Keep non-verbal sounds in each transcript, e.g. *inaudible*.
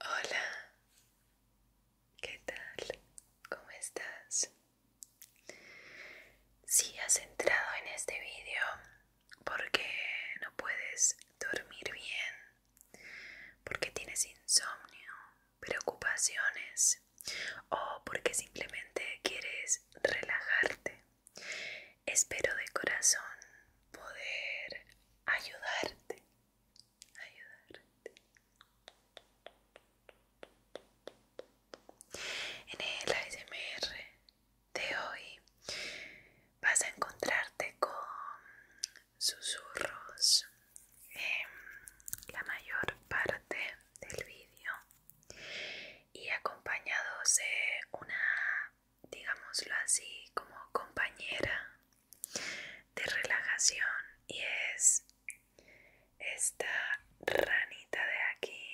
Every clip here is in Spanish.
Hola, ¿qué tal? ¿Cómo estás? Si has entrado en este vídeo porque no puedes dormir bien, porque tienes insomnio, preocupaciones o porque simplemente quieres relajarte. Espero de corazón poder ayudarte. ayudarte. En el ASMR de hoy vas a encontrarte con susurros en la mayor parte del vídeo y acompañados de una, digámoslo así, como compañera de relajación y es esta ranita de aquí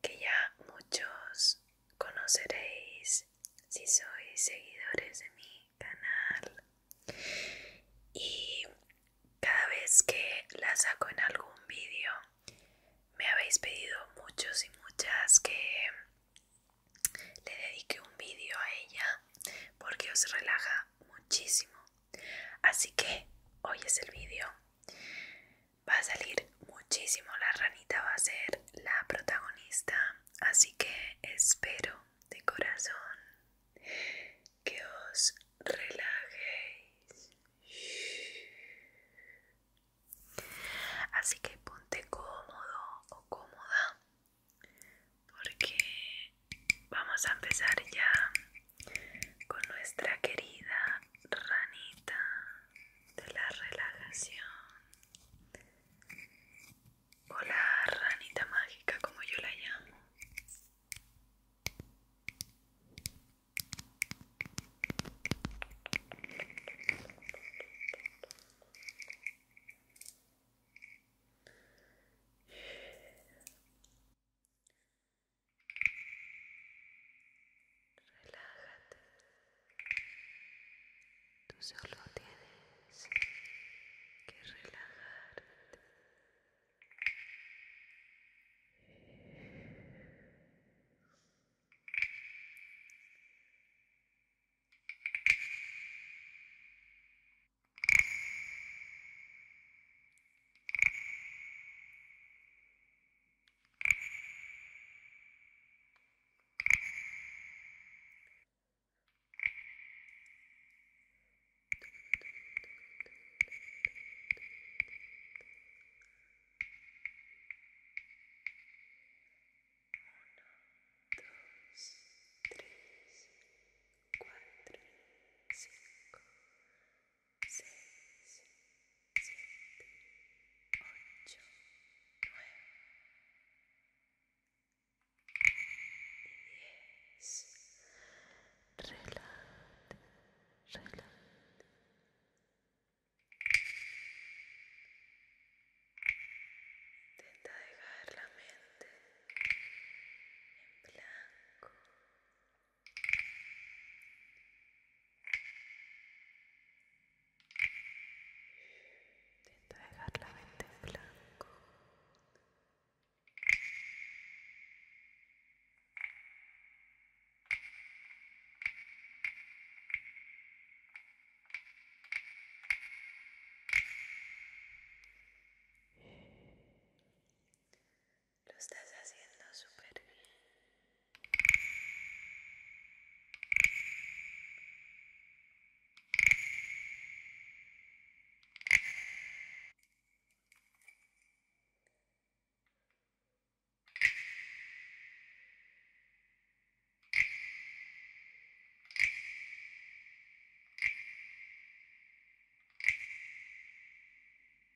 que ya muchos conoceréis si sois seguidores de mi canal y cada vez que la saco en algún vídeo me habéis pedido muchos y muchas que le dedique un vídeo a ella porque os relaja muchísimo así que hoy es el vídeo va a salir muchísimo, la ranita va a ser la protagonista, así que espero de corazón que os relajéis. Así que ponte cómodo o cómoda porque vamos a empezar ya con nuestra querida ranita de la relajación o la ranita mágica como yo la llamo Relájate. Tú solo tienes que relajarte dos, tres, cuatro, cinco, 6 siete, 8 Intenta dejar la mente en blanco, Intenta dejar la mente en blanco. Lo estás haciendo súper bien.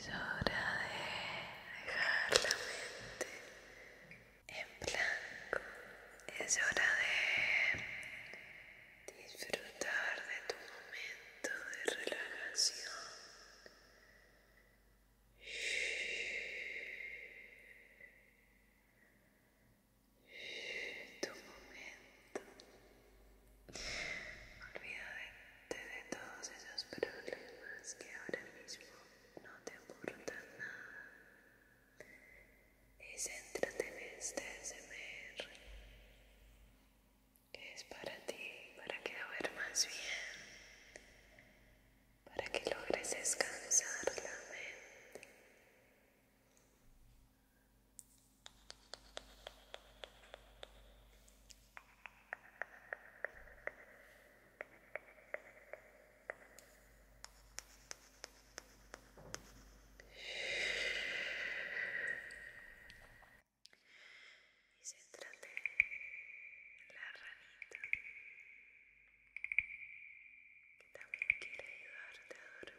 Es hora de dejar la mente en blanco. Es hora de disfrutar de tu momento momento de relajación. Tu momento. Olvídate de todos esos problemas que ahora mismo no te importan nada. Y céntrate en este SMR que es para ti, para que más bien, para que logres descansar la mente y céntrate de la ranita que también quiere ayudarte a dormir.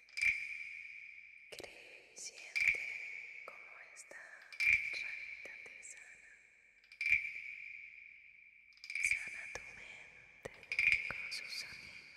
creciente como esta rarita te sana. Sana tu mente con su sonido.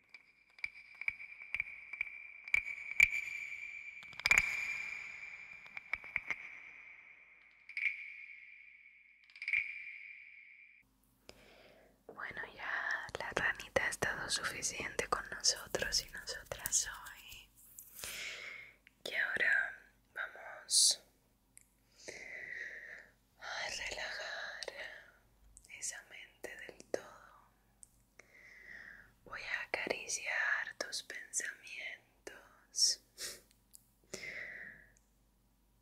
Bueno, ya la ranita ha estado suficiente con nosotros y nosotras hoy. Y ahora vamos a relajar esa mente del todo. Voy a acariciar tus pensamientos,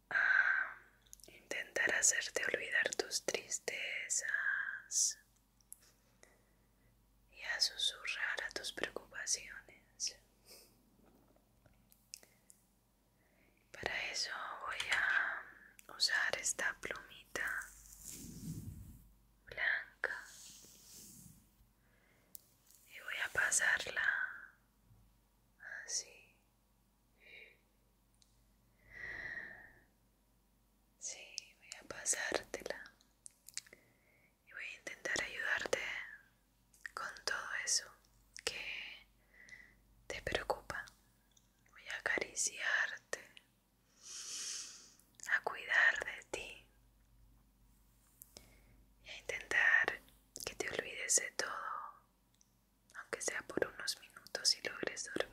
a intentar hacerte olvidar tus tristezas y a susurrar a tus preocupaciones. Para eso voy a usar esta plumita blanca y voy a pasarla así. Sí, voy a pasártela y voy a intentar ayudarte con todo eso que te preocupa voy a acariciarte, a cuidar de ti y a intentar que te olvides de todo, aunque sea por unos minutos y logres dormir.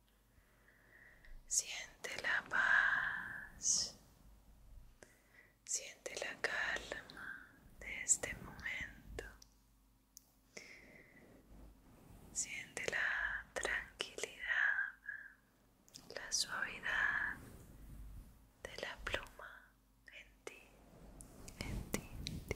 Siente la paz, siente la calma de este momento, siente la tranquilidad, la suavidad de la pluma en ti, en ti,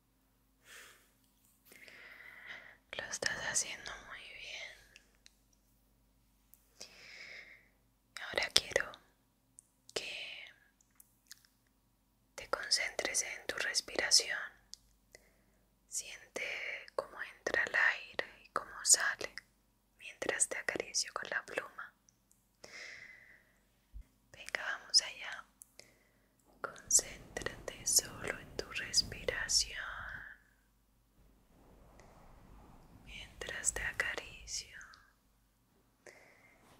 Lo estás haciendo muy bien. Ahora quiero que te concentres en tu respiración. Siente cómo entra el aire y cómo sale mientras te acaricio con la pluma. Venga, vamos allá. Concéntrate solo en tu respiración mientras te acaricio.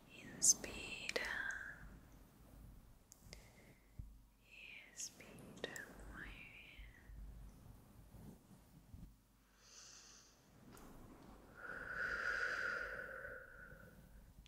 Inspira y expira muy bien.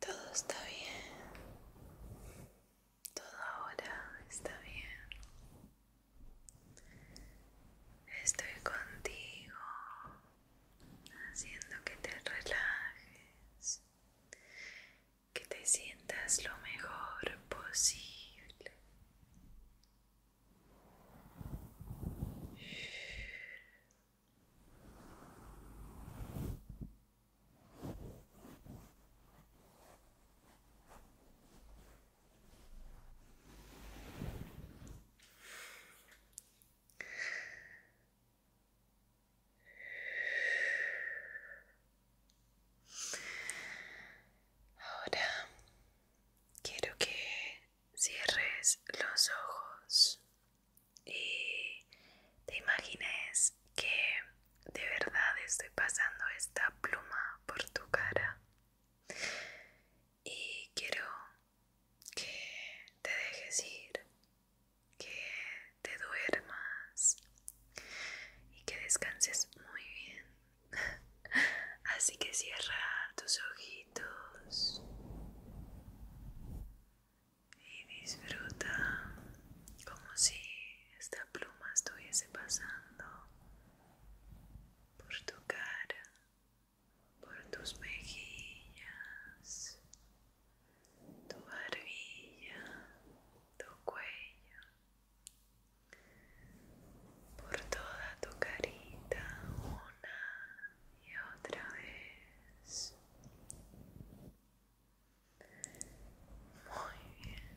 Todo está bien. Todo ahora está bien. Estoy contigo haciendo que te relajes, que te sientas lo mejor posible. Ahora quiero que cierres los ojos y te imagines que de verdad estoy pasando esta pluma por tu cara y quiero que te dejes ir, que te duermas y que descanses muy bien. *laughs* Así que cierra tus ojitos y disfruta como si esta pluma estuviese pasando por tu cara, por tus mejillas, tu barbilla, tu cuello, por toda tu carita una y otra vez. Muy bien.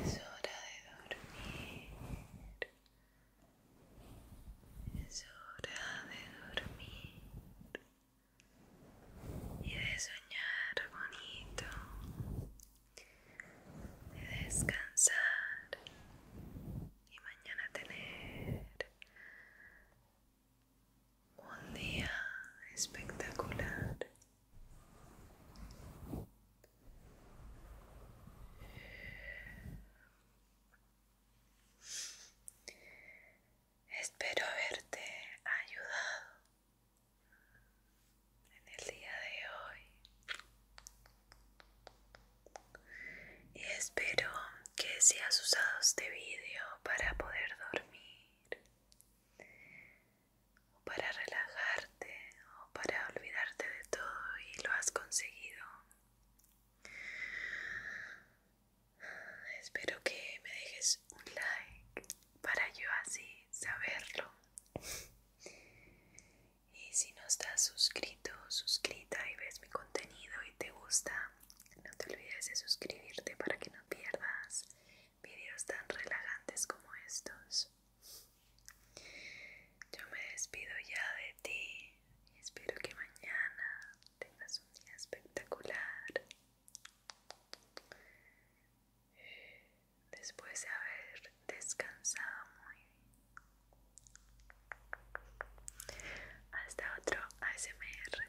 Es hora de dormir. Es hora de dormir y de soñar bonito, de descansar y mañana tener un día espectacular. Espero haberte ayudado en el día de hoy y espero que seas has usado este vídeo para poder dormir o para relajarte o para olvidarte de todo y lo has conseguido. Espero que me dejes un like para yo así saberlo. Y si no estás suscrito, suscrita y ves mi contenido y te gusta, no te olvides de suscribirte para que no pierdas Vídeos tan relajantes como estos. Yo me despido ya de ti y espero que mañana tengas un día espectacular. Después de haber descansado muy bien. Hasta otro ASMR.